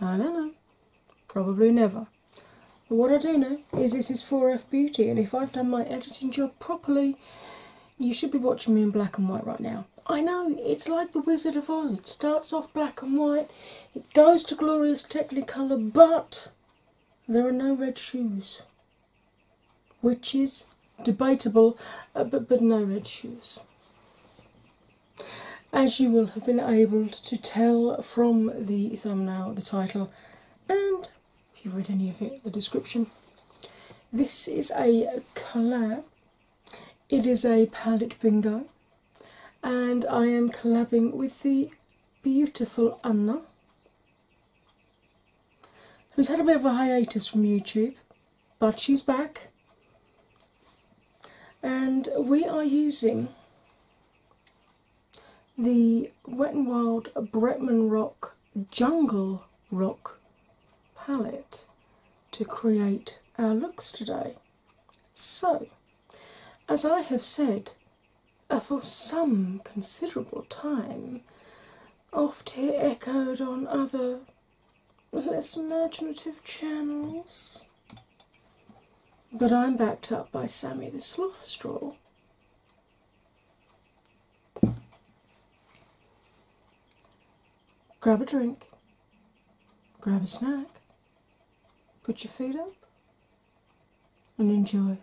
I don't know, probably never. what I do know is this is 4F Beauty, and if I've done my editing job properly, you should be watching me in black and white right now. I know, it's like The Wizard of Oz. It starts off black and white, it goes to glorious Technicolor, but there are no red shoes, which is debatable, uh, but, but no red shoes. As you will have been able to tell from the thumbnail, the title, and if you read any of it, the description, this is a collab. It is a palette bingo, and I am collabing with the beautiful Anna, who's had a bit of a hiatus from YouTube but she's back. And we are using the Wet and Wild Bretman Rock Jungle Rock palette to create our looks today. So, as I have said uh, for some considerable time, oft here echoed on other less imaginative channels. But I'm backed up by Sammy the Sloth Straw. Grab a drink, grab a snack, put your feet up, and enjoy.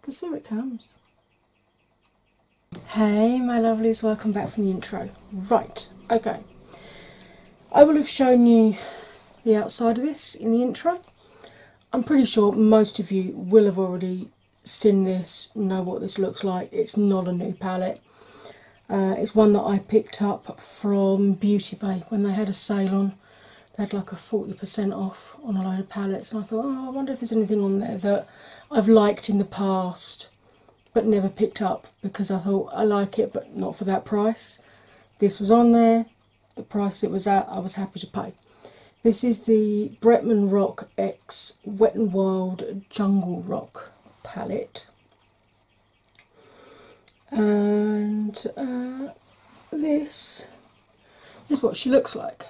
Because here it comes. Hey, my lovelies, welcome back from the intro. Right, okay. I will have shown you the outside of this in the intro. I'm pretty sure most of you will have already seen this, know what this looks like. It's not a new palette. Uh, it's one that I picked up from Beauty Bay when they had a sale on. They had like a 40% off on a load of palettes, and I thought, oh, I wonder if there's anything on there that I've liked in the past but never picked up because I thought I like it, but not for that price. This was on there, the price it was at, I was happy to pay. This is the Bretman Rock X Wet and Wild Jungle Rock palette. And uh, this is what she looks like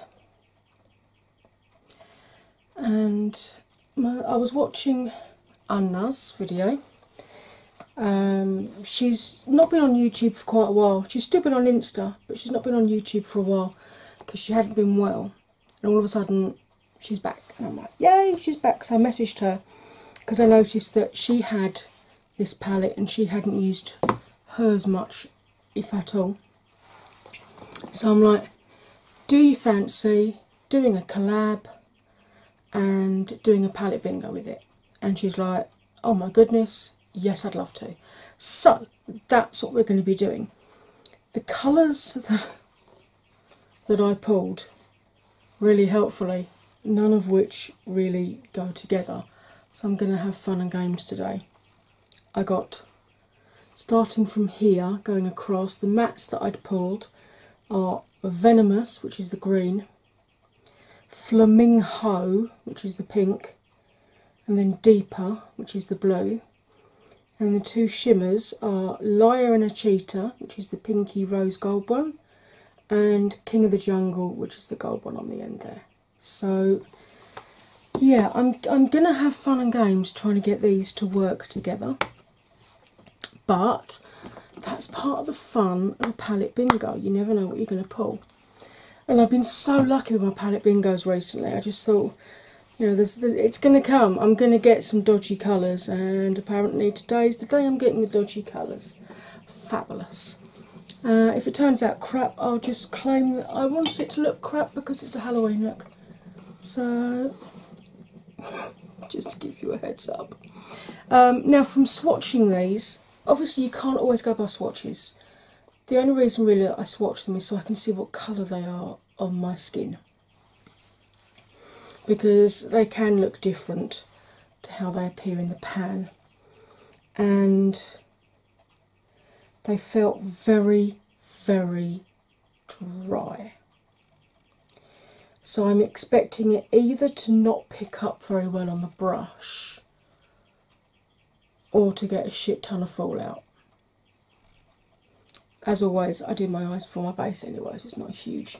and I was watching Anna's video. Um, she's not been on YouTube for quite a while. She's still been on Insta, but she's not been on YouTube for a while because she hadn't been well. And all of a sudden, she's back, and I'm like, yay, she's back! So I messaged her because I noticed that she had this palette and she hadn't used hers much, if at all. So I'm like, do you fancy doing a collab and doing a palette bingo with it. And she's like, oh my goodness, yes, I'd love to. So that's what we're going to be doing. The colours that, I pulled really helpfully, none of which really go together. So I'm going to have fun and games today. I got Starting from here, going across, the mats that I'd pulled are Venomous, which is the green, Flamingo, which is the pink, and then Deeper, which is the blue. And the two shimmers are Liar and a Cheetah, which is the pinky rose gold one, and King of the Jungle, which is the gold one on the end there. So yeah, I'm I'm gonna have fun and games trying to get these to work together. But that's part of the fun of a palette bingo. You never know what you're going to pull. And I've been so lucky with my palette bingos recently. I just thought, you know, it's going to come. I'm going to get some dodgy colours, and apparently today is the day I'm getting the dodgy colours. Fabulous. Uh, if it turns out crap, I'll just claim that I wanted it to look crap because it's a Halloween look. So just to give you a heads up. Um, now, from swatching these, obviously, you can't always go by swatches. The only reason really I swatch them is so I can see what colour they are on my skin because they can look different to how they appear in the pan and they felt very, very dry. So I'm expecting it either to not pick up very well on the brush or to get a shit ton of fallout. As always, I do my eyes before my base Anyways, it's not a huge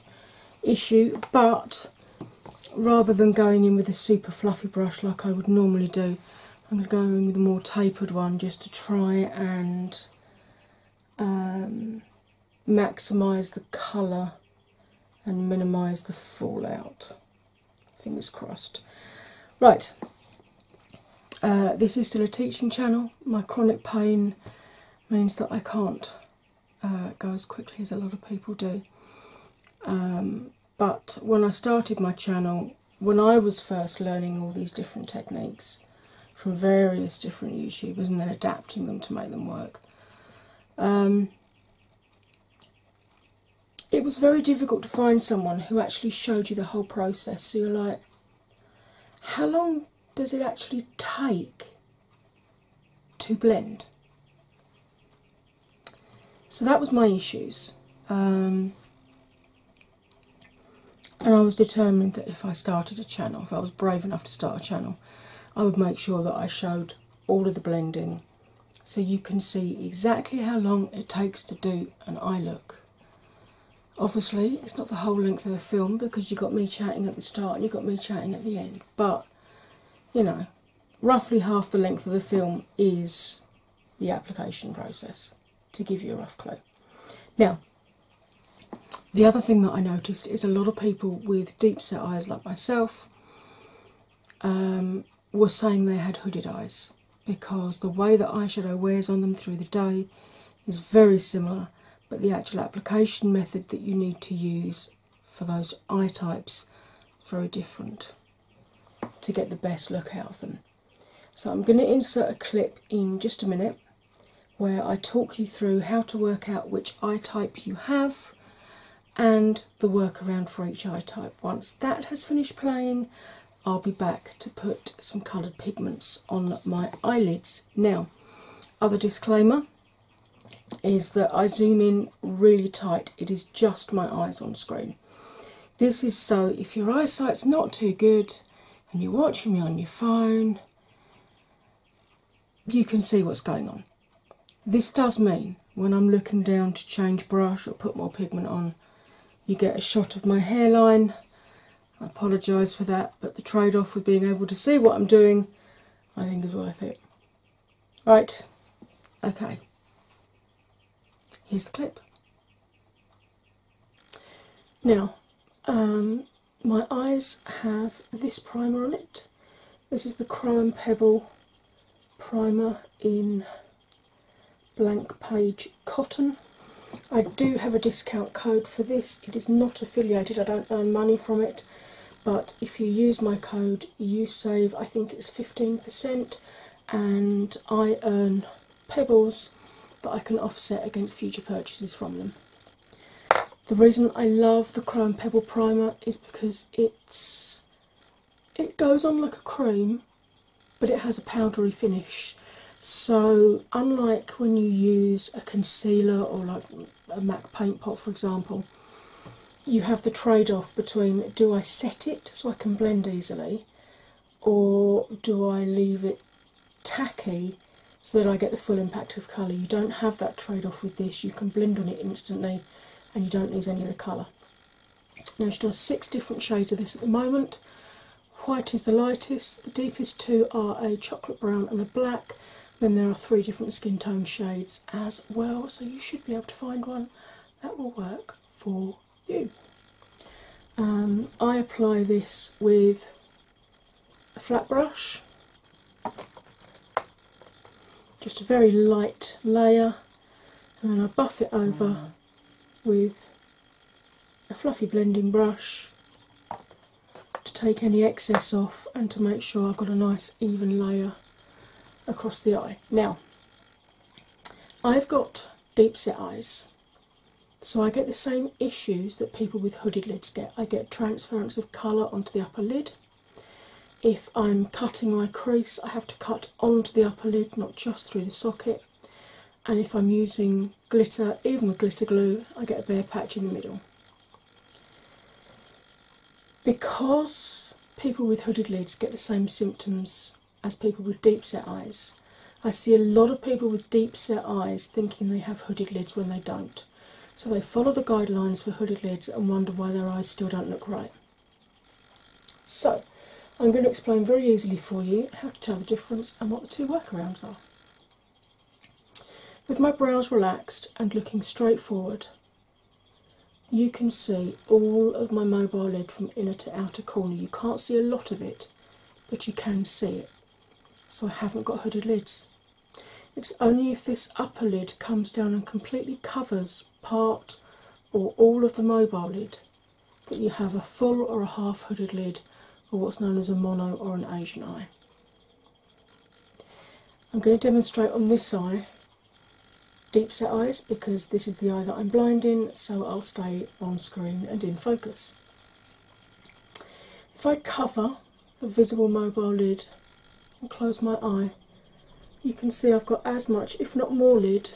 issue. But rather than going in with a super fluffy brush like I would normally do, I'm going to go in with a more tapered one just to try and um, maximize the colour and minimize the fallout. Fingers crossed. Right, uh, this is still a teaching channel. My chronic pain means that I can't uh, go as quickly as a lot of people do. Um, but when I started my channel, when I was first learning all these different techniques, from various different YouTubers and then adapting them to make them work. Um, it was very difficult to find someone who actually showed you the whole process. So you're like, how long does it actually take to blend? So that was my issues. Um, and I was determined that if I started a channel, if I was brave enough to start a channel, I would make sure that I showed all of the blending so you can see exactly how long it takes to do an eye look. Obviously, it's not the whole length of the film because you got me chatting at the start and you got me chatting at the end, but you know, roughly half the length of the film is the application process to give you a rough clue. Now, the other thing that I noticed is a lot of people with deep set eyes, like myself, um, were saying they had hooded eyes because the way that eyeshadow wears on them through the day is very similar, but the actual application method that you need to use for those eye types is very different to get the best look out of them. So, I'm going to insert a clip in just a minute where I talk you through how to work out which eye type you have and the workaround for each eye type. Once that has finished playing, I'll be back to put some coloured pigments on my eyelids. Now, other disclaimer is that I zoom in really tight, it is just my eyes on screen. This is so if your eyesight's not too good and you're watching me on your phone you can see what's going on. This does mean when I'm looking down to change brush or put more pigment on, you get a shot of my hairline. I apologise for that, but the trade off with being able to see what I'm doing I think is worth it. Right, okay, here's the clip. Now, um, my eyes have this primer on it. This is the Crime Pebble primer in blank page cotton. I do have a discount code for this. It is not affiliated, I don't earn money from it, but if you use my code, you save, I think it's 15%, and I earn pebbles that I can offset against future purchases from them. The reason I love the Chrome Pebble Primer is because it's it goes on like a cream but it has a powdery finish. So unlike when you use a concealer or like a MAC paint pot for example, you have the trade-off between do I set it so I can blend easily or do I leave it tacky so that I get the full impact of colour. You don't have that trade off with this, you can blend on it instantly and you don't lose any of the colour. Now, she does six different shades of this at the moment. White is the lightest, the deepest two are a chocolate brown and a black. Then there are three different skin tone shades as well, so you should be able to find one that will work for you. Um, I apply this with a flat brush, just a very light layer, and then I buff it over mm. with a fluffy blending brush to take any excess off and to make sure I've got a nice even layer across the eye. Now, I've got deep set eyes, so I get the same issues that people with hooded lids get. I get transference of colour onto the upper lid. If I'm cutting my crease, I have to cut onto the upper lid, not just through the socket. And if I'm using glitter, even with glitter glue, I get a bare patch in the middle. Because people with hooded lids get the same symptoms as people with deep set eyes, I see a lot of people with deep set eyes thinking they have hooded lids when they don't. So they follow the guidelines for hooded lids and wonder why their eyes still don't look right. So, I'm going to explain very easily for you how to tell the difference and what the two workarounds are. With my brows relaxed and looking straight forward, you can see all of my mobile lid from inner to outer corner. You can't see a lot of it, but you can see it so I haven't got hooded lids. It's only if this upper lid comes down and completely covers part or all of the mobile lid that you have a full or a half hooded lid or what's known as a mono or an Asian eye. I'm going to demonstrate on this eye deep set eyes because this is the eye that I'm blind in, so I'll stay on screen and in focus. If I cover the visible mobile lid and close my eye, you can see I've got as much, if not more, lid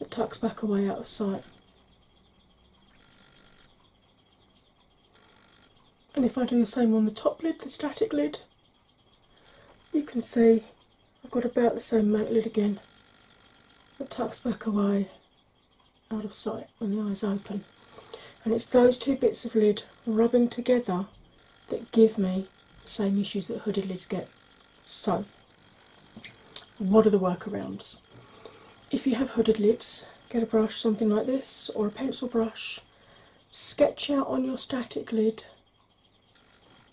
that tucks back away out of sight. And if I do the same on the top lid, the static lid, you can see I've got about the same mount lid again that tucks back away out of sight when the eyes open. And it's those two bits of lid rubbing together that give me the same issues that hooded lids get. So, what are the workarounds? If you have hooded lids, get a brush, something like this, or a pencil brush, sketch out on your static lid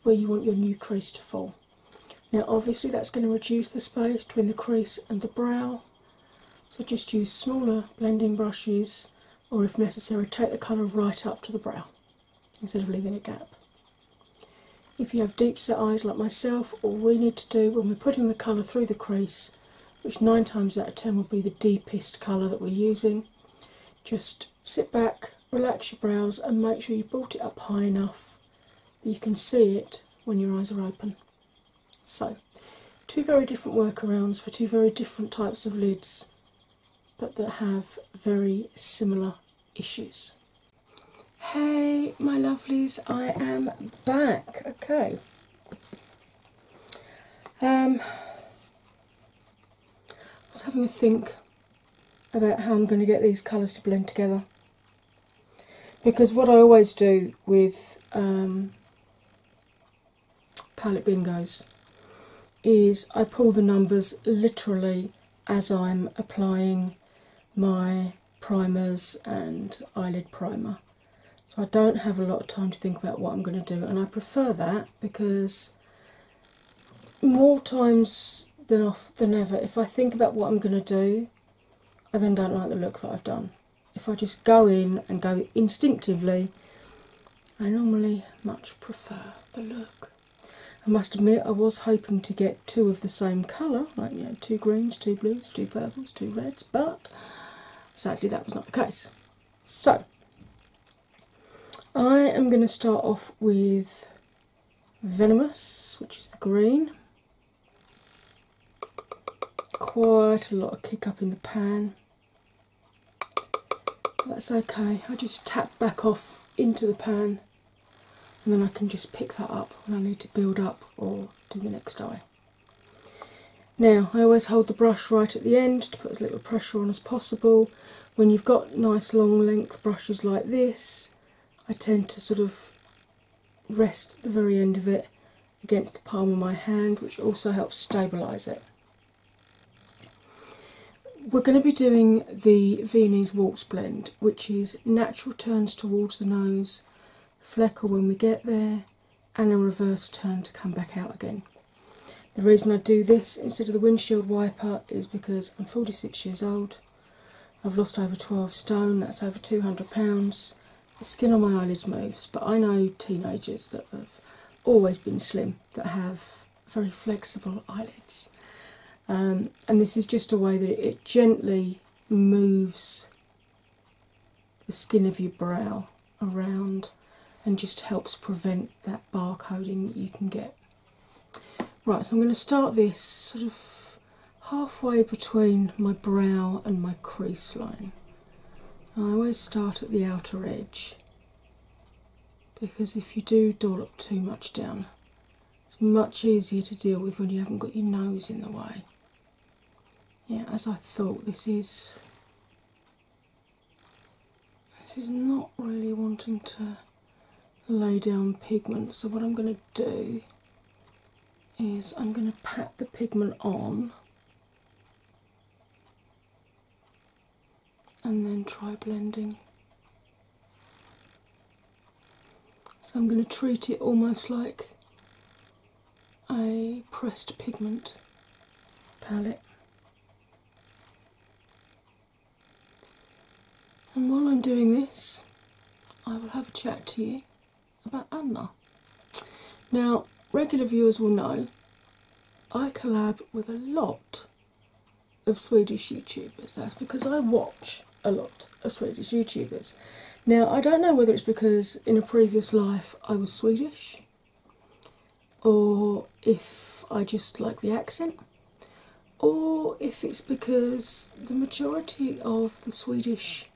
where you want your new crease to fall. Now, obviously, that's going to reduce the space between the crease and the brow. So just use smaller blending brushes, or if necessary, take the colour right up to the brow instead of leaving a gap. If you have deep set eyes like myself, all we need to do when we're putting the colour through the crease, which nine times out of ten will be the deepest colour that we're using, just sit back, relax your brows, and make sure you brought it up high enough that you can see it when your eyes are open. So, two very different workarounds for two very different types of lids, but that have very similar issues. Hey, my lovelies, I am back. Okay. Um, I was having a think about how I'm going to get these colours to blend together because what I always do with um, palette bingos is I pull the numbers literally as I'm applying my primers and eyelid primer. So I don't have a lot of time to think about what I'm going to do, and I prefer that because more times than ever, if I think about what I'm going to do, I then don't like the look that I've done if I just go in and go instinctively, I normally much prefer the look. I must admit, I was hoping to get two of the same colour, like you know, two greens, two blues, two purples, two reds, but sadly that was not the case. So, I am going to start off with Venomous, which is the green, quite a lot of kick up in the pan. That's okay, I just tap back off into the pan and then I can just pick that up when I need to build up or do the next eye. Now, I always hold the brush right at the end to put as little pressure on as possible. When you've got nice long length brushes like this, I tend to sort of rest the very end of it against the palm of my hand, which also helps stabilise it. We're going to be doing the Viennese walks blend, which is natural turns towards the nose, fleckle when we get there, and a reverse turn to come back out again. The reason I do this instead of the windshield wiper is because I'm 46 years old I've lost over 12 stone, that's over 200 pounds. The skin on my eyelids moves, but I know teenagers that have always been slim that have very flexible eyelids. Um, and this is just a way that it gently moves the skin of your brow around and just helps prevent that barcoding that you can get. Right, so I'm going to start this sort of halfway between my brow and my crease line. And I always start at the outer edge because if you do dollop too much down, it's much easier to deal with when you haven't got your nose in the way. Yeah, as I thought, this is. This is not really wanting to lay down pigment, so what I'm going to do is I'm going to pat the pigment on and then try blending. So I'm going to treat it almost like a pressed pigment palette. And while I'm doing this, I will have a chat to you about Anna. Now, regular viewers will know I collab with a lot of Swedish YouTubers. That's because I watch a lot of Swedish YouTubers. Now, I don't know whether it's because in a previous life I was Swedish or if I just like the accent or if it's because the majority of the Swedish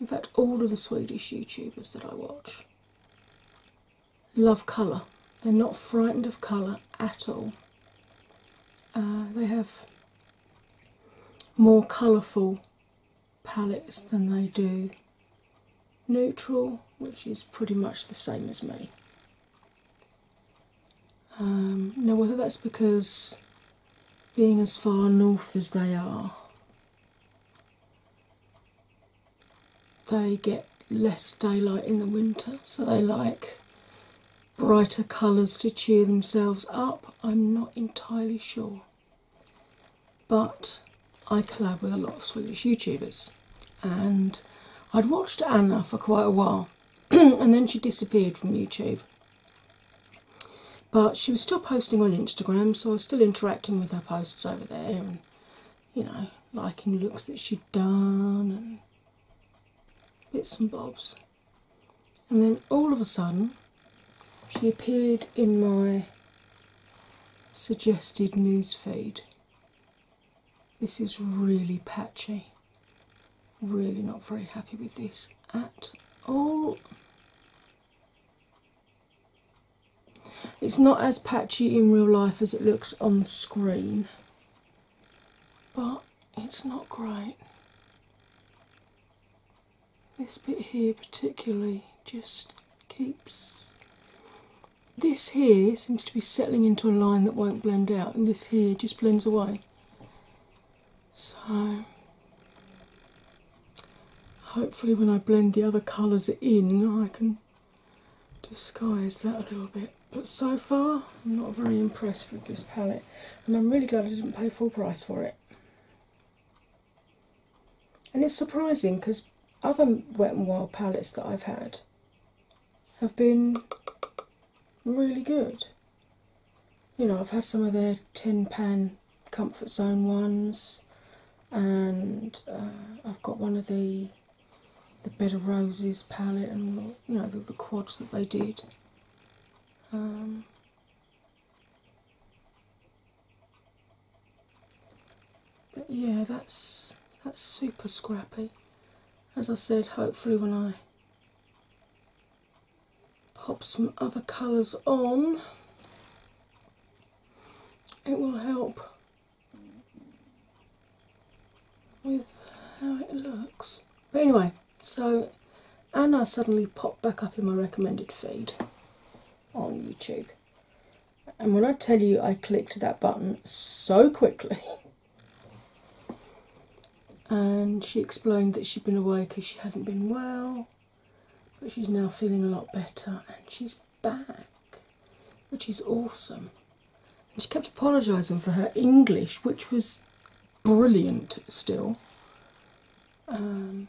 in fact, all of the Swedish YouTubers that I watch love colour. They're not frightened of colour at all. Uh, they have more colourful palettes than they do neutral, which is pretty much the same as me. Um, now, whether that's because being as far north as they are, they get less daylight in the winter, so they like brighter colours to cheer themselves up. I'm not entirely sure, but I collab with a lot of Swedish YouTubers, and I'd watched Anna for quite a while, and then she disappeared from YouTube. But she was still posting on Instagram, so I was still interacting with her posts over there and you know, liking looks that she'd done and bits and bobs. And then all of a sudden, she appeared in my suggested newsfeed. This is really patchy. Really not very happy with this at all. It's not as patchy in real life as it looks on screen, but it's not great. This bit here, particularly, just keeps. This here seems to be settling into a line that won't blend out, and this here just blends away. So, hopefully, when I blend the other colours in, I can disguise that a little bit. But so far, I'm not very impressed with this palette, and I'm really glad I didn't pay full price for it. And it's surprising because other Wet n Wild palettes that I've had have been really good you know, I've had some of the tin pan comfort zone ones, and uh, I've got one of the the bed of roses palette and all, you know the, quads that they did. Um, but yeah, that's that's super scrappy. As I said, hopefully when I pop some other colours on, it will help with how it looks. But anyway, so Anna suddenly popped back up in my recommended feed on YouTube. And when I tell you I clicked that button so quickly, and she explained that she'd been away because she hadn't been well, but she's now feeling a lot better and she's back, which is awesome. And she kept apologising for her English, which was brilliant still. Um,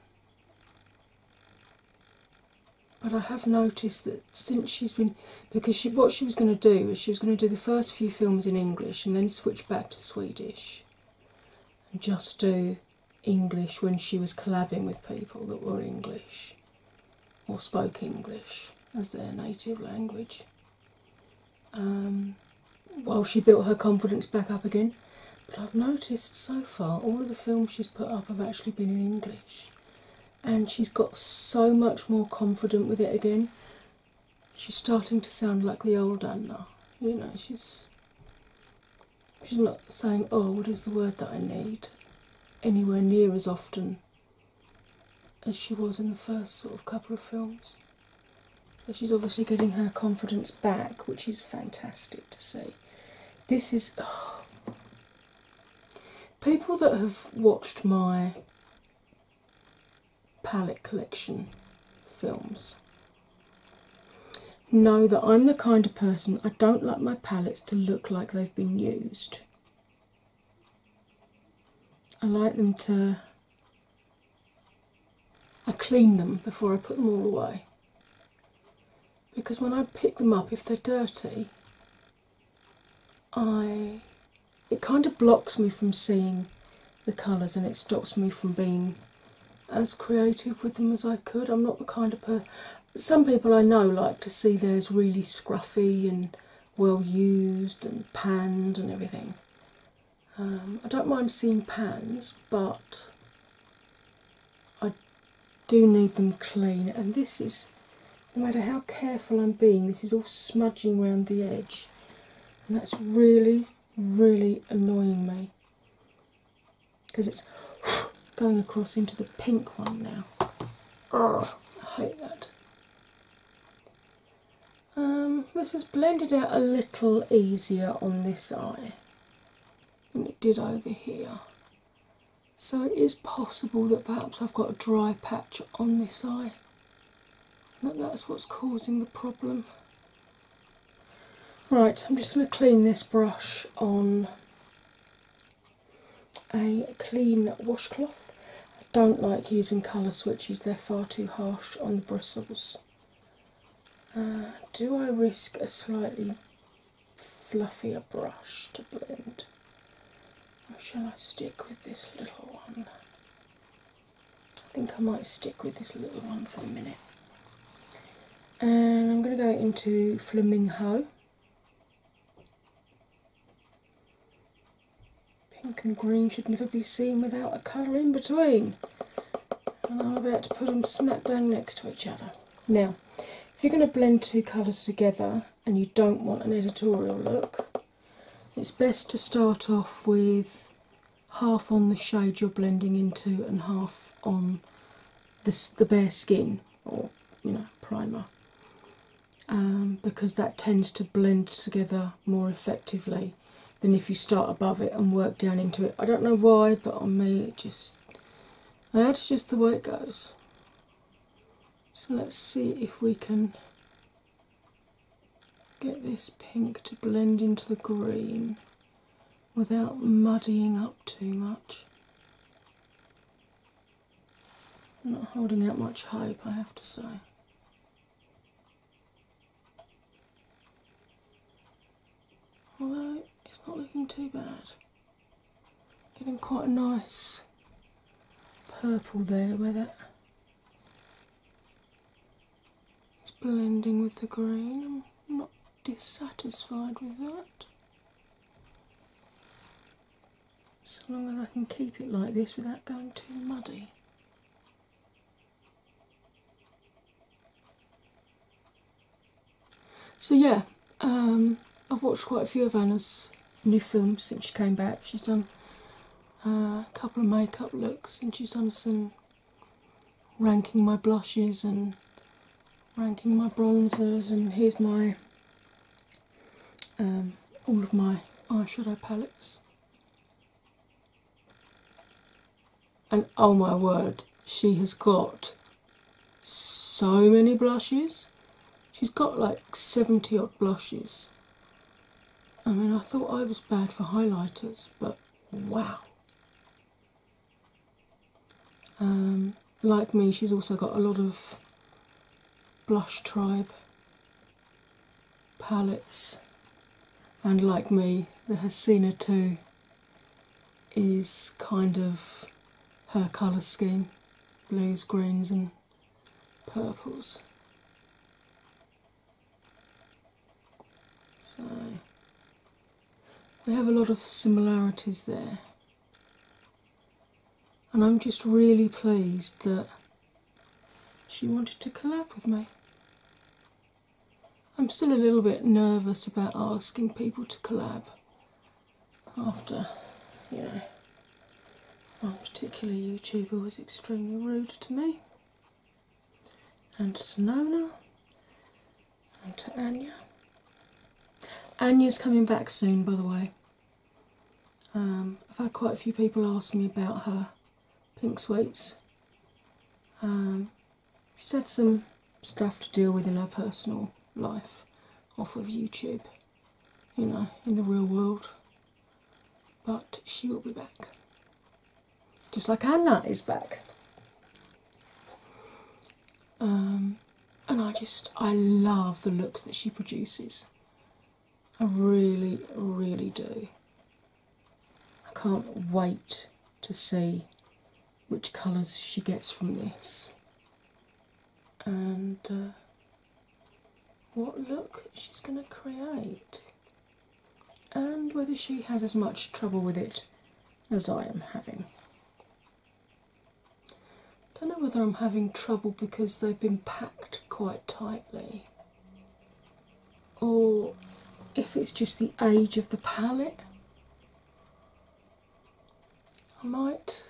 but I have noticed that since she's been, because what she was going to do is she was going to do the first few films in English and then switch back to Swedish and just do English when she was collabing with people that were English or spoke English as their native language. Um, well, she built her confidence back up again, but I've noticed so far all of the films she's put up have actually been in English, and she's got so much more confident with it again. She's starting to sound like the old Anna, you know, she's she's not saying, oh, what is the word that I need, anywhere near as often as she was in the first sort of couple of films. So she's obviously getting her confidence back, which is fantastic to see. This is. Oh. People that have watched my palette collection films Know that I'm the kind of person I don't like my palettes to look like they've been used. I like them to. I clean them before I put them all away. Because when I pick them up, if they're dirty, I. It kind of blocks me from seeing the colours and it stops me from being as creative with them as I could. I'm not the kind of person. Some people I know like to see theirs really scruffy and well used and panned and everything. Um, I don't mind seeing pans, but I do need them clean. And this is, no matter how careful I'm being, this is all smudging around the edge, and that's really, really annoying me because it's going across into the pink one now. Oh, I hate that. Um, this has blended out a little easier on this eye than it did over here. So it is possible that perhaps I've got a dry patch on this eye. And that that's what's causing the problem. Right, I'm just going to clean this brush on a clean washcloth. I don't like using colour switches, they're far too harsh on the bristles. Uh, do I risk a slightly fluffier brush to blend? Or shall I stick with this little one? I think I might stick with this little one for a minute and I'm going to go into Flamingo. Pink and green should never be seen without a colour in between. And I'm about to put them smack bang next to each other. Now, if you're going to blend two colours together and you don't want an editorial look, it's best to start off with half on the shade you're blending into and half on the bare skin or you know primer um, because that tends to blend together more effectively than if you start above it and work down into it. I don't know why, but on me it just that's just the way it goes. So let's see if we can get this pink to blend into the green without muddying up too much. I'm not holding out much hope, I have to say. Although it's not looking too bad. Getting quite a nice purple there with it. It's blending with the green dissatisfied with that. So long as I can keep it like this without going too muddy. So yeah, um, I've watched quite a few of Anna's new films since she came back. She's done uh, a couple of makeup looks and she's done some ranking my blushes and ranking my bronzers, and here's my um, all of my eyeshadow palettes. And oh my word, she has got so many blushes. She's got like 70 odd blushes. I mean, I thought I was bad for highlighters, but wow. Um, like me, she's also got a lot of blush tribe palettes, and like me, the Hasina too is kind of her colour scheme blues, greens, and purples. So we have a lot of similarities there. And I'm just really pleased that she wanted to collab with me. I'm still a little bit nervous about asking people to collab after, you know, one particular YouTuber was extremely rude to me and to Nona and to Anya. Anya's coming back soon, by the way. Um, I've had quite a few people ask me about her pink sweets. Um, she's had some stuff to deal with in her personal life off of YouTube, you know, in the real world. But she will be back just like Anna is back. Um, and I just, I love the looks that she produces. I really, really do. I can't wait to see which colours she gets from this and uh, what look she's going to create and whether she has as much trouble with it as I am having. I don't know whether I'm having trouble because they've been packed quite tightly or if it's just the age of the palette. I might,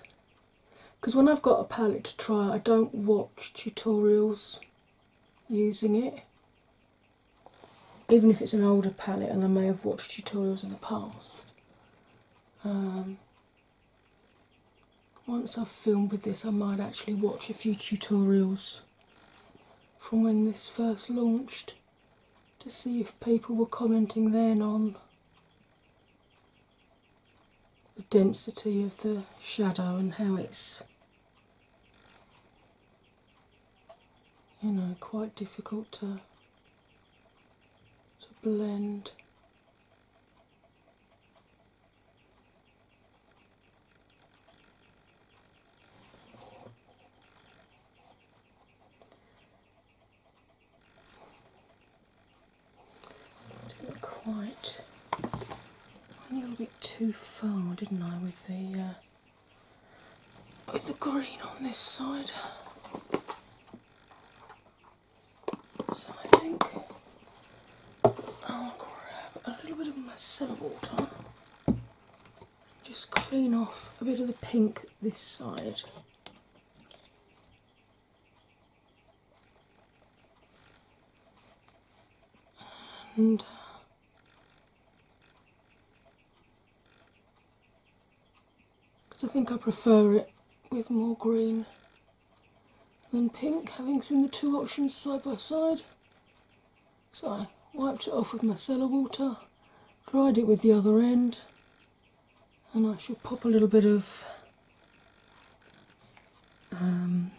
because when I've got a palette to try, I don't watch tutorials using it even if it's an older palette and I may have watched tutorials in the past. Um, once I've filmed with this, I might actually watch a few tutorials from when this first launched to see if people were commenting then on the density of the shadow and how it's you know, quite difficult to to blend. quite. A little bit too far, didn't I, with the uh, with the green on this side. So I think I'll grab a little bit of micellar water just clean off a bit of the pink this side. And uh, because I think I prefer it with more green than pink, having seen the two options side by side. So I wiped it off with my micellar water, dried it with the other end, and I should pop a little bit of. Um,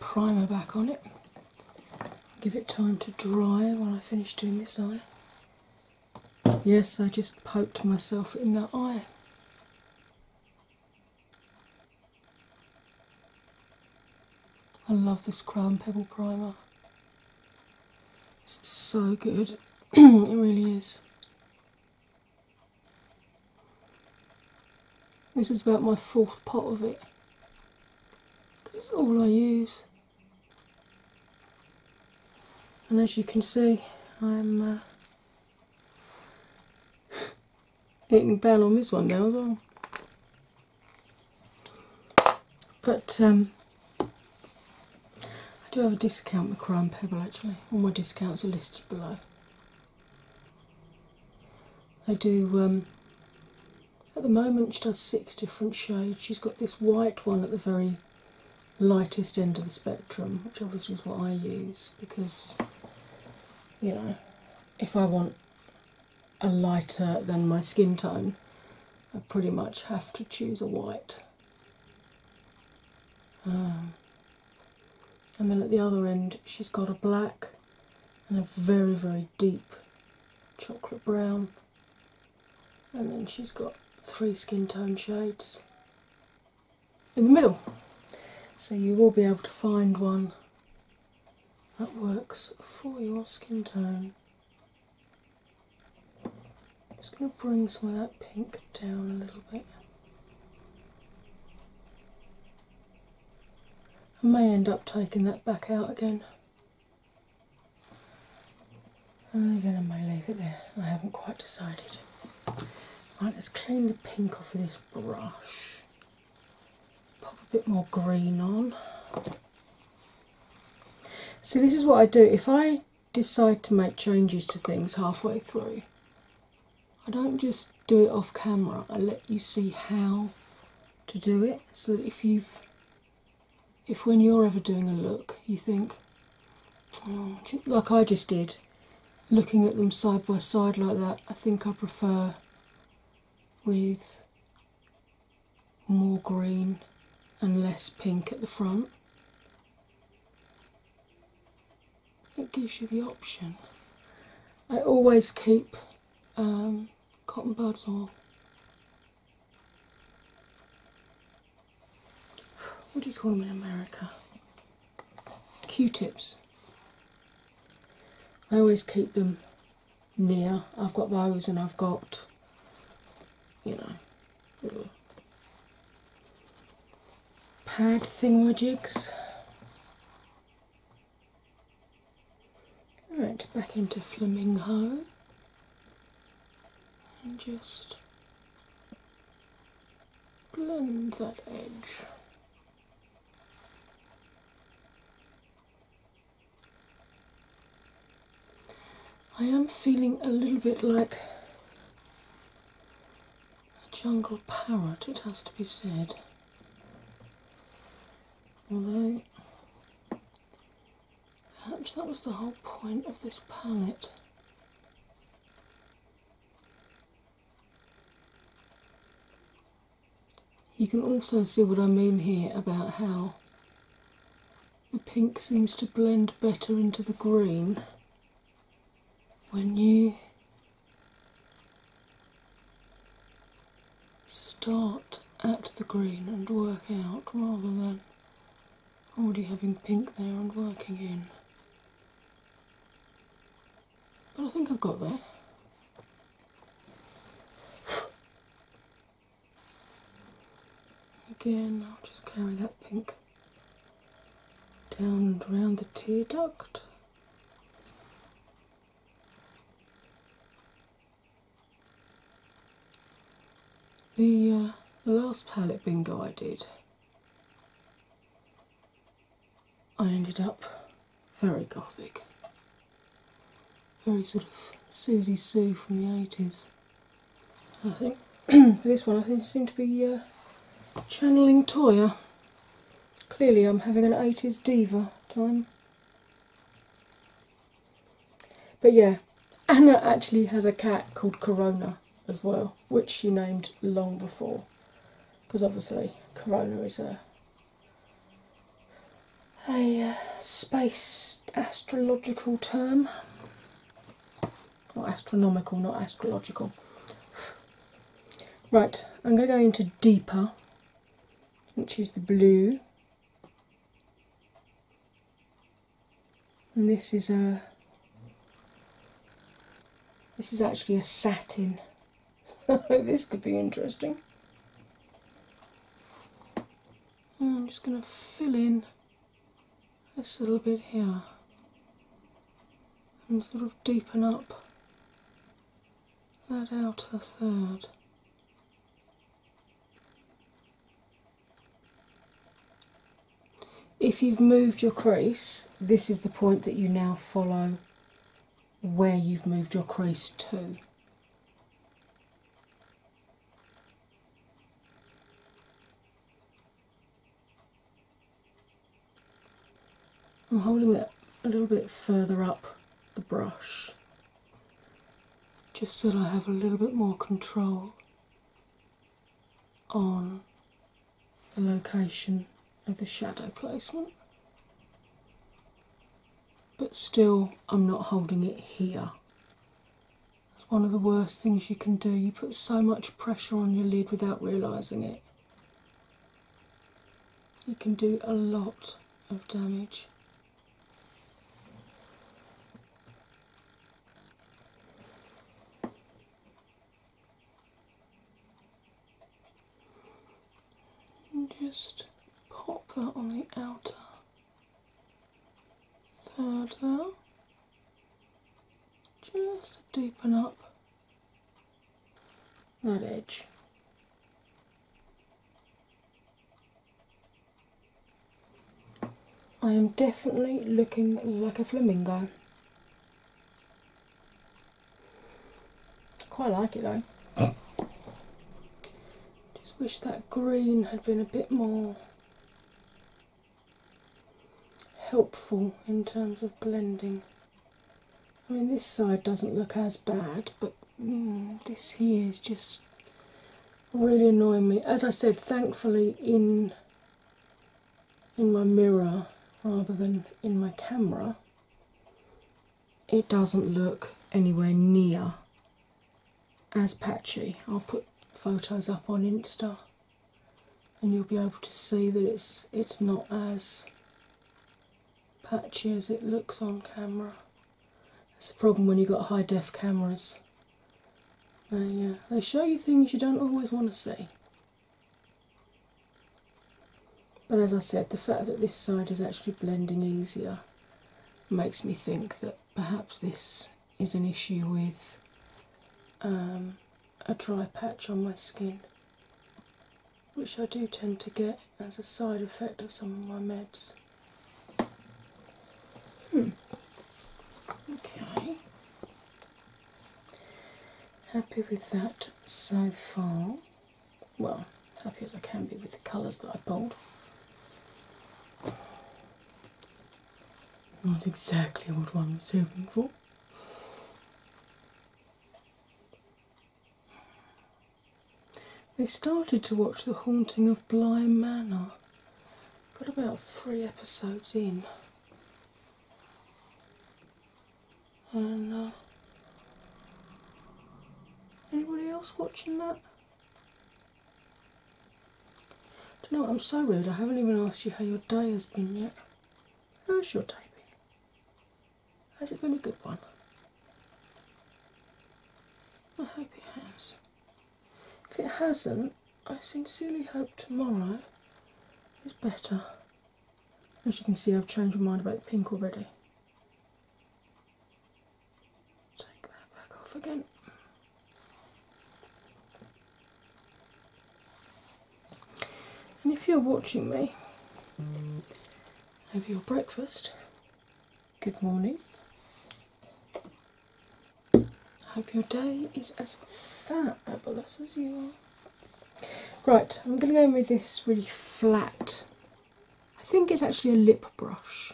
primer back on it. Give it time to dry When I finish doing this eye. Yes, I just poked myself in the eye. I love this Crown Pebble primer. It's so good, it really is. This is about my fourth pot of it because it's all I use. And as you can see, I'm uh, eating bell on this one now as well. But um, I do have a discount with Crime Pebble actually. All my discounts are listed below. I do, um, at the moment, she does six different shades. She's got this white one at the very lightest end of the spectrum, which obviously is what I use because, you know, if I want a lighter than my skin tone, I pretty much have to choose a white. Um, and then at the other end, she's got a black and a very, very deep chocolate brown. And then she's got three skin tone shades in the middle. So you will be able to find one that works for your skin tone. just going to bring some of that pink down a little bit. I may end up taking that back out again. And again, I may leave it there. I haven't quite decided. Right, let's clean the pink off with this brush. Pop a bit more green on. See, this is what I do. If I decide to make changes to things halfway through, I don't just do it off camera. I let you see how to do it so that if you've if when you're ever doing a look you think oh, like I just did looking at them side by side like that I think I prefer with more green and less pink at the front. It gives you the option. I always keep um, cotton buds or what do you call them in America? Q-tips. I always keep them near. I've got those, and I've got, you know, little pad thingamajigs. Right, back into Flamingo and just blend that edge. I am feeling a little bit like a jungle parrot, it has to be said. Although, perhaps that was the whole point of this palette. You can also see what I mean here about how the pink seems to blend better into the green when you start at the green and work out rather than already having pink there and working in. But I think I've got there. Again, I'll just carry that pink down and round the tear duct. The, the uh, last palette bingo I did, I ended up very gothic, very sort of Susie Sue from the 80s. I think for this one, I think it seemed to be uh, channeling Toya. Clearly, I'm having an 80s diva time. But yeah, Anna actually has a cat called Corona as well, which she named long before, because obviously Corona is a a uh, space astrological term. Not astronomical, not astrological. Right, I'm going to go into deeper which is the blue. And this is a this is actually a satin. So this could be interesting. I'm just going to fill in this little bit here and sort of deepen up that outer third. If you've moved your crease, this is the point that you now follow where you've moved your crease to. I'm holding it a little bit further up the brush just so that I have a little bit more control on the location of the shadow placement. But still, I'm not holding it here. It's one of the worst things you can do. You put so much pressure on your lid without realising it you can do a lot of damage. just pop that on the outer third there, just to deepen up that edge. I am definitely looking like a flamingo. Quite like it though. Just wish that green had been a bit more helpful in terms of blending. I mean, this side doesn't look as bad, but mm, this here is just really annoying me. As I said, thankfully in in my mirror rather than in my camera, it doesn't look anywhere near as patchy. I'll put photos up on Insta and you'll be able to see that it's it's not as patchy as it looks on camera. That's a problem when you've got high def cameras. They, uh, they show you things you don't always want to see. But as I said, the fact that this side is actually blending easier makes me think that perhaps this is an issue with um, a dry patch on my skin which I do tend to get as a side effect of some of my meds. Hmm. Okay. Happy with that so far. Well, happy as I can be with the colours that I pulled. Not exactly what I was hoping for. They started to watch The Haunting of Bly Manor. Got about three episodes in. And uh, anybody else watching that? Do you know what? I'm so rude. I haven't even asked you how your day has been yet. How's your day been? Has it been a good one? I hope it has. If it hasn't, I sincerely hope tomorrow is better. As you can see, I've changed my mind about the pink already. Take that back off again. And if you're watching me have your breakfast. Good morning. Hope your day is as fabulous as you are. Right, I'm going to go in with this really flat. I think it's actually a lip brush.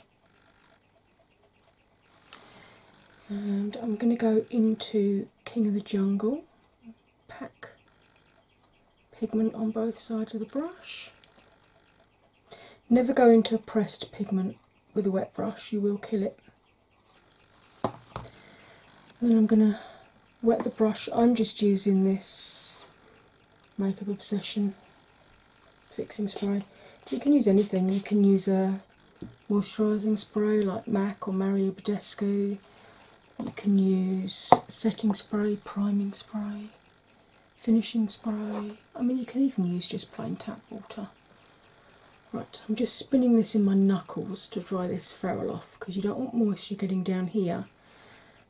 And I'm going to go into King of the Jungle pack pigment on both sides of the brush. Never go into a pressed pigment with a wet brush, you will kill it. then I'm going to wet the brush. I'm just using this Makeup Obsession fixing spray. You can use anything, you can use a moisturising spray like MAC or Mario Badescu. You can use setting spray, priming spray finishing spray. I mean, you can even use just plain tap water. Right, I'm just spinning this in my knuckles to dry this ferrule off because you don't want moisture getting down here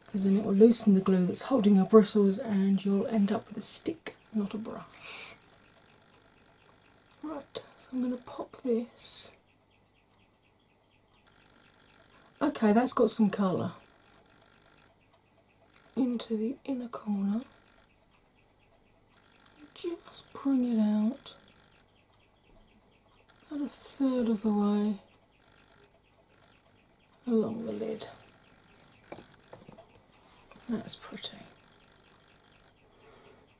because then it will loosen the glue that's holding your bristles and you'll end up with a stick, not a brush. Right, so I'm going to pop this Okay, that's got some colour. Into the inner corner, just bring it out about a third of the way along the lid. That's pretty.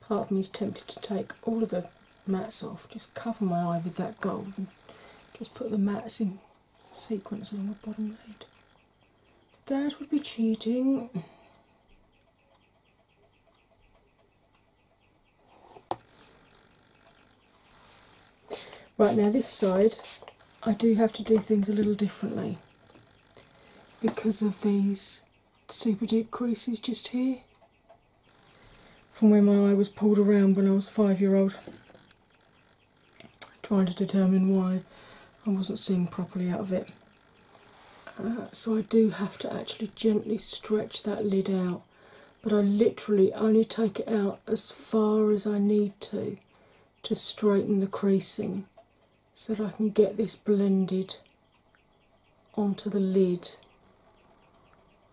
Part of me is tempted to take all of the mats off, just cover my eye with that gold just put the mats in Sequence along the bottom lid. That would be cheating. Right now, this side, I do have to do things a little differently because of these super deep creases just here from where my eye was pulled around when I was five year old trying to determine why I wasn't seeing properly out of it. Uh, so I do have to actually gently stretch that lid out, but I literally only take it out as far as I need to to straighten the creasing so that I can get this blended onto the lid.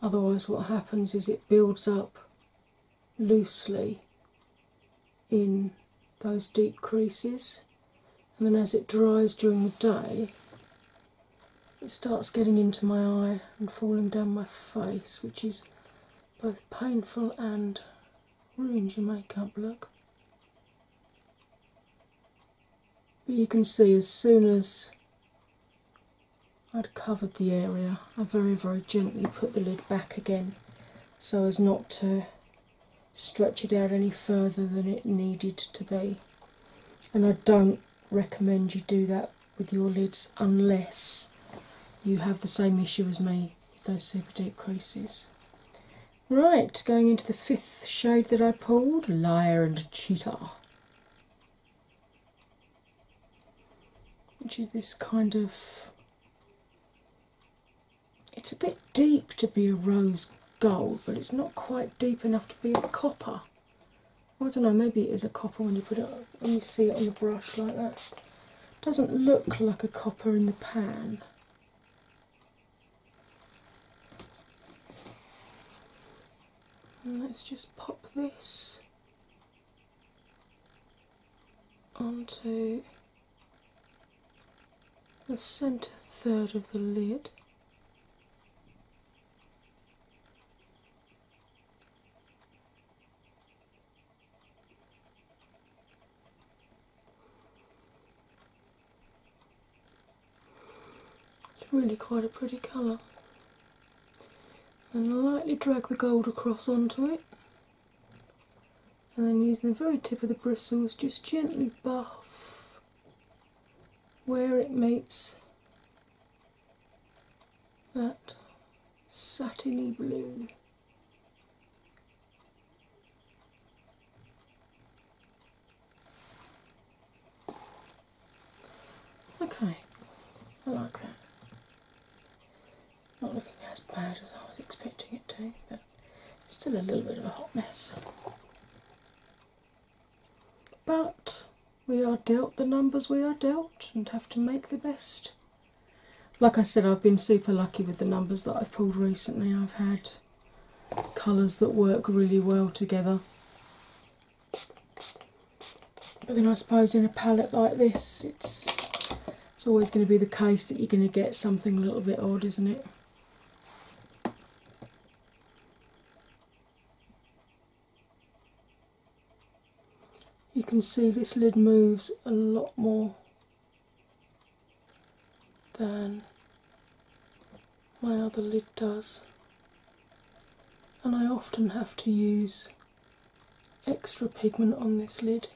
Otherwise, what happens is it builds up loosely in those deep creases, and then as it dries during the day, it starts getting into my eye and falling down my face, which is both painful and ruins your makeup look. But you can see as soon as I'd covered the area. I very, very gently put the lid back again so as not to stretch it out any further than it needed to be. And I don't recommend you do that with your lids unless you have the same issue as me with those super deep creases. Right, going into the fifth shade that I pulled Liar and Cheetah which is this kind of it's a bit deep to be a rose gold, but it's not quite deep enough to be a copper. I don't know, maybe it is a copper when you put it when you see it on the brush like that. doesn't look like a copper in the pan. let's just pop this onto the centre third of the lid. It's really quite a pretty colour and lightly drag the gold across onto it, and then using the very tip of the bristles, just gently buff where it meets that satiny blue. Okay, I like that. Not looking as bad as I was expecting it to, but still a little bit of a hot mess. But we are dealt the numbers we are dealt and have to make the best. Like I said, I've been super lucky with the numbers that I've pulled recently. I've had colours that work really well together. But then I suppose in a palette like this, it's it's always going to be the case that you're going to get something a little bit odd, isn't it? You can see this lid moves a lot more than my other lid does, and I often have to use extra pigment on this lid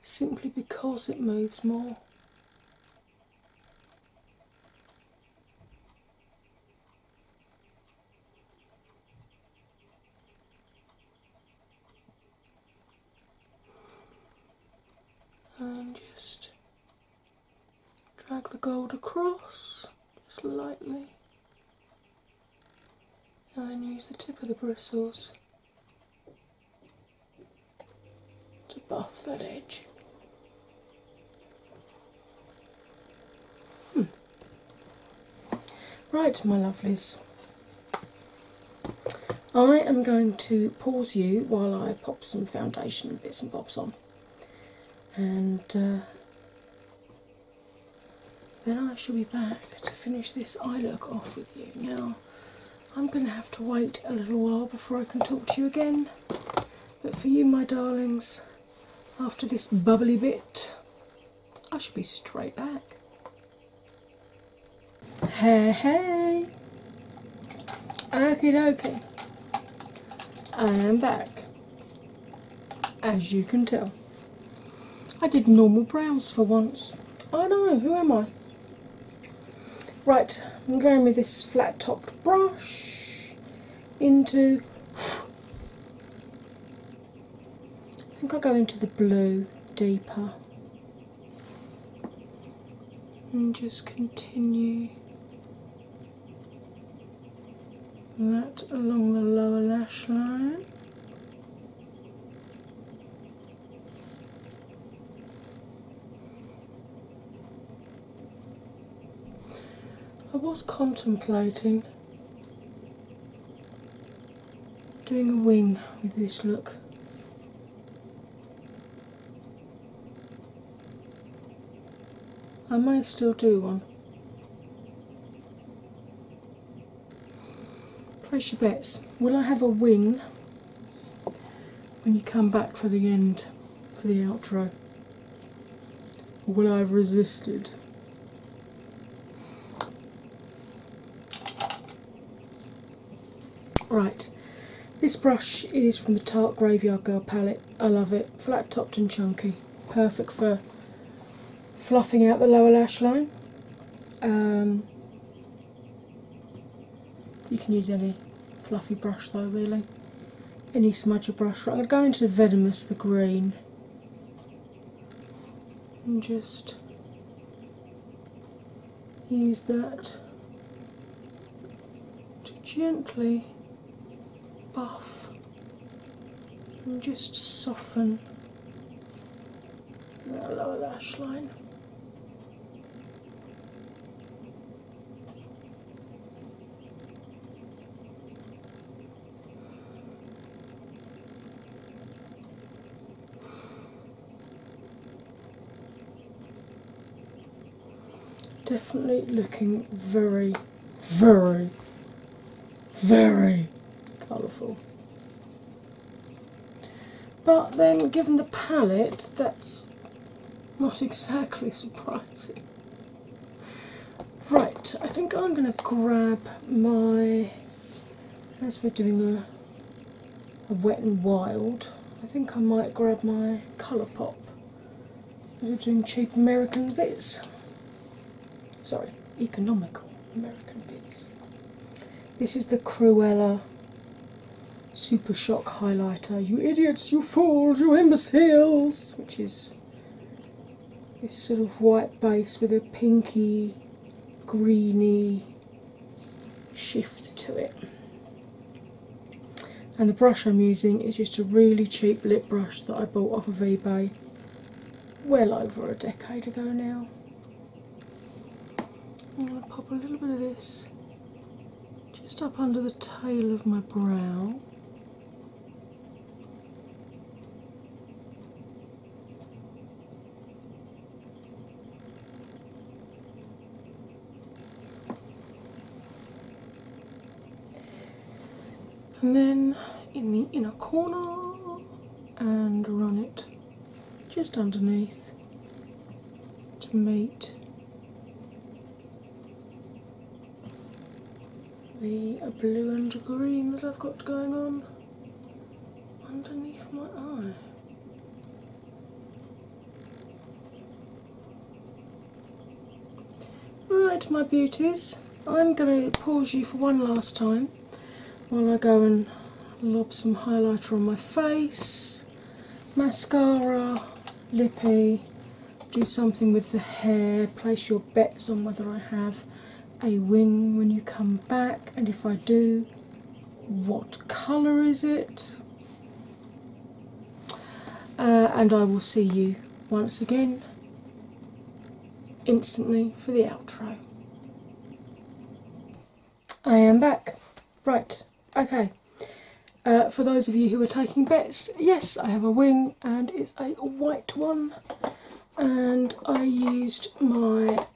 simply because it moves more. And just drag the gold across just lightly and use the tip of the bristles to buff that edge. Hmm. Right, my lovelies. I am going to pause you while I pop some foundation bits and bobs on, and uh, then I shall be back to finish this eye look off with you. Now, I'm going to have to wait a little while before I can talk to you again, but for you, my darlings, after this bubbly bit, I shall be straight back. Hey, hey! Okay, okay. I am back as you can tell. I did normal brows for once. I don't know, who am I? Right, I'm going with this flat topped brush into. I think I'll go into the blue deeper and just continue that along the lower lash line. I was contemplating doing a wing with this look. I might still do one. Place your bets. Will I have a wing when you come back for the end, for the outro? will I have resisted? Right, this brush is from the Tart Graveyard Girl palette. I love it. Flat topped and chunky. Perfect for fluffing out the lower lash line. Um, you can use any fluffy brush though, really. Any smudger brush. I'm going to go into Venomous, the green, and just use that to gently buff and just soften that lower lash line. Definitely looking very, very, very colourful. But then, given the palette, that's not exactly surprising. Right, I think I'm going to grab my, as we're doing a, a wet and wild, I think I might grab my Colour Pop. We're doing cheap American bits sorry, economical American bits. This is the Cruella Super Shock highlighter. You idiots, you fools, you imbeciles! Which is this sort of white base with a pinky, greeny shift to it. And the brush I'm using is just a really cheap lip brush that I bought off of eBay well over a decade ago now. I'm going to pop a little bit of this just up under the tail of my brow. And then in the inner corner, and run it just underneath to meet the blue and green that I've got going on underneath my eye. Right, my beauties, I'm going to pause you for one last time while I go and lob some highlighter on my face, mascara, lippy, do something with the hair, place your bets on whether I have a wing when you come back, and if I do, what colour is it? Uh, and I will see you once again instantly for the outro. I am back. Right, okay. Uh, for those of you who are taking bets, yes, I have a wing and it's a white one, and I used my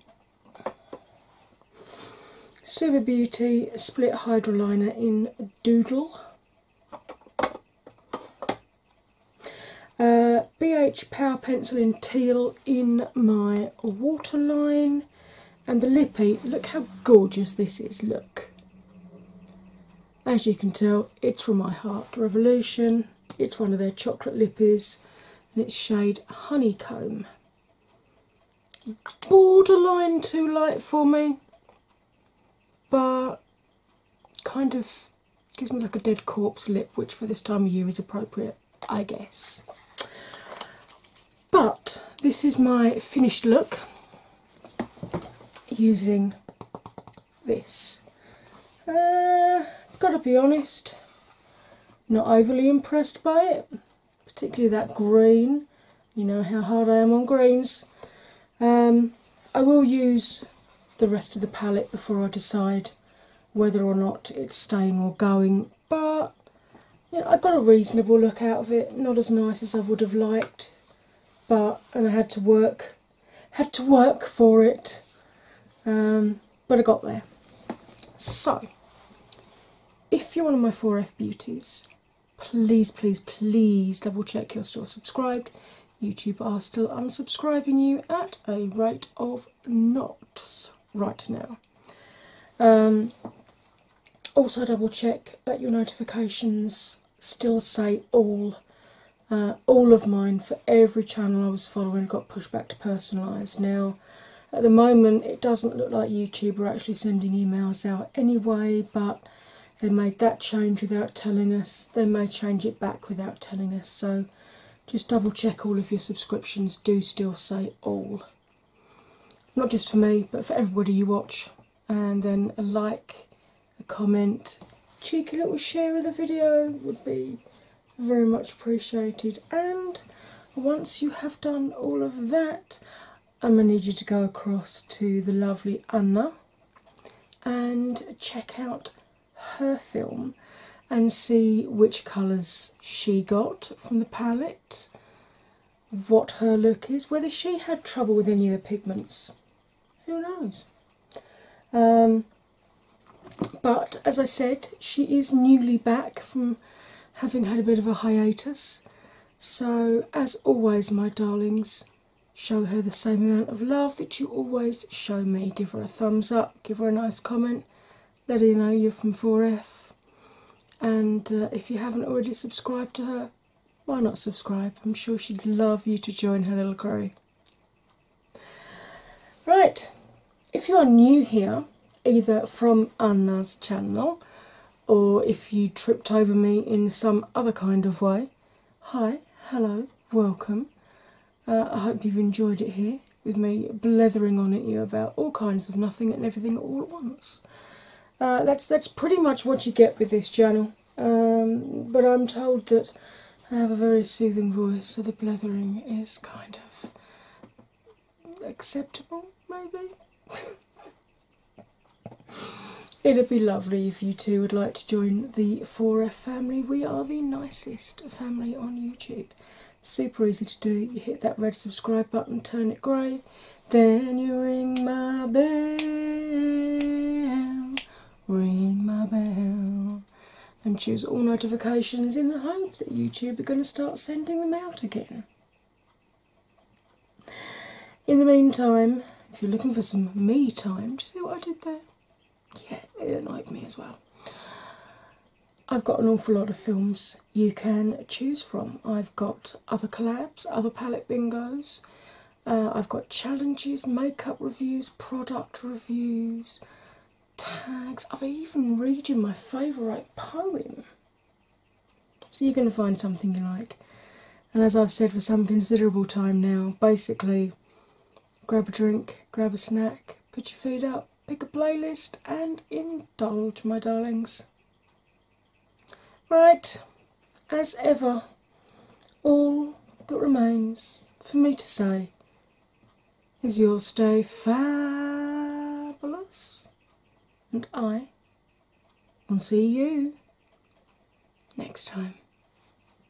Super Beauty Split Hydroliner in Doodle. BH uh, Power Pencil in Teal in my waterline and the lippy. Look how gorgeous this is! Look, as you can tell, it's from my heart revolution. It's one of their chocolate lippies and it's shade honeycomb. Borderline too light for me, but kind of Gives me like a dead corpse lip, which for this time of year is appropriate, I guess. But this is my finished look using this. Uh, gotta be honest, not overly impressed by it, particularly that green. You know how hard I am on greens. Um, I will use the rest of the palette before I decide whether or not it's staying or going, but you I got a reasonable look out of it, not as nice as I would have liked, but and I had to work had to work for it. Um, but I got there. So if you're one of my 4F beauties, please, please, please double check you're still subscribed. YouTube are still unsubscribing you at a rate of knots right now. Um, also, double check that your notifications still say all. Uh, all of mine for every channel I was following got pushed back to personalised. Now, at the moment, it doesn't look like YouTube are actually sending emails out anyway, but they made that change without telling us. They may change it back without telling us. So just double check all of your subscriptions do still say all. Not just for me, but for everybody you watch. And then a like, a comment, cheeky little share of the video would be very much appreciated. And once you have done all of that, I'm going to need you to go across to the lovely Anna and check out her film and see which colours she got from the palette, what her look is, whether she had trouble with any of the pigments. Who knows? Um, but as I said, she is newly back from having had a bit of a hiatus. So, as always, my darlings, show her the same amount of love that you always show me. Give her a thumbs up, give her a nice comment, let her know you're from 4F. And uh, if you haven't already subscribed to her, why not subscribe? I'm sure she'd love you to join her little crew. Right, if you are new here, either from Anna's channel or if you tripped over me in some other kind of way, hi, hello, welcome. Uh, I hope you've enjoyed it here with me blathering on at you about all kinds of nothing and everything all at once. Uh, that's that's pretty much what you get with this channel. Um, but I'm told that I have a very soothing voice, so the blathering is kind of acceptable, maybe. It'd be lovely if you two would like to join the for a family. We are the nicest family on YouTube. Super easy to do. You hit that red subscribe button, turn it grey, then you ring my bell, ring my bell, and choose all notifications in the hope that YouTube are going to start sending them out again. In the meantime, if you're looking for some me time, do you see what I did there? yeah, it annoyed me as well. I've got an awful lot of films you can choose from. I've got other collabs, other palette bingos, uh, I've got challenges, makeup reviews, product reviews, tags. I've even read you my favourite poem. So you're going to find something you like. And as I've said for some considerable time now, basically grab a drink, grab a snack, put your food up, pick a playlist, and indulge, my darlings. Right, as ever, all that remains for me to say is you'll stay fabulous, and I will see you next time.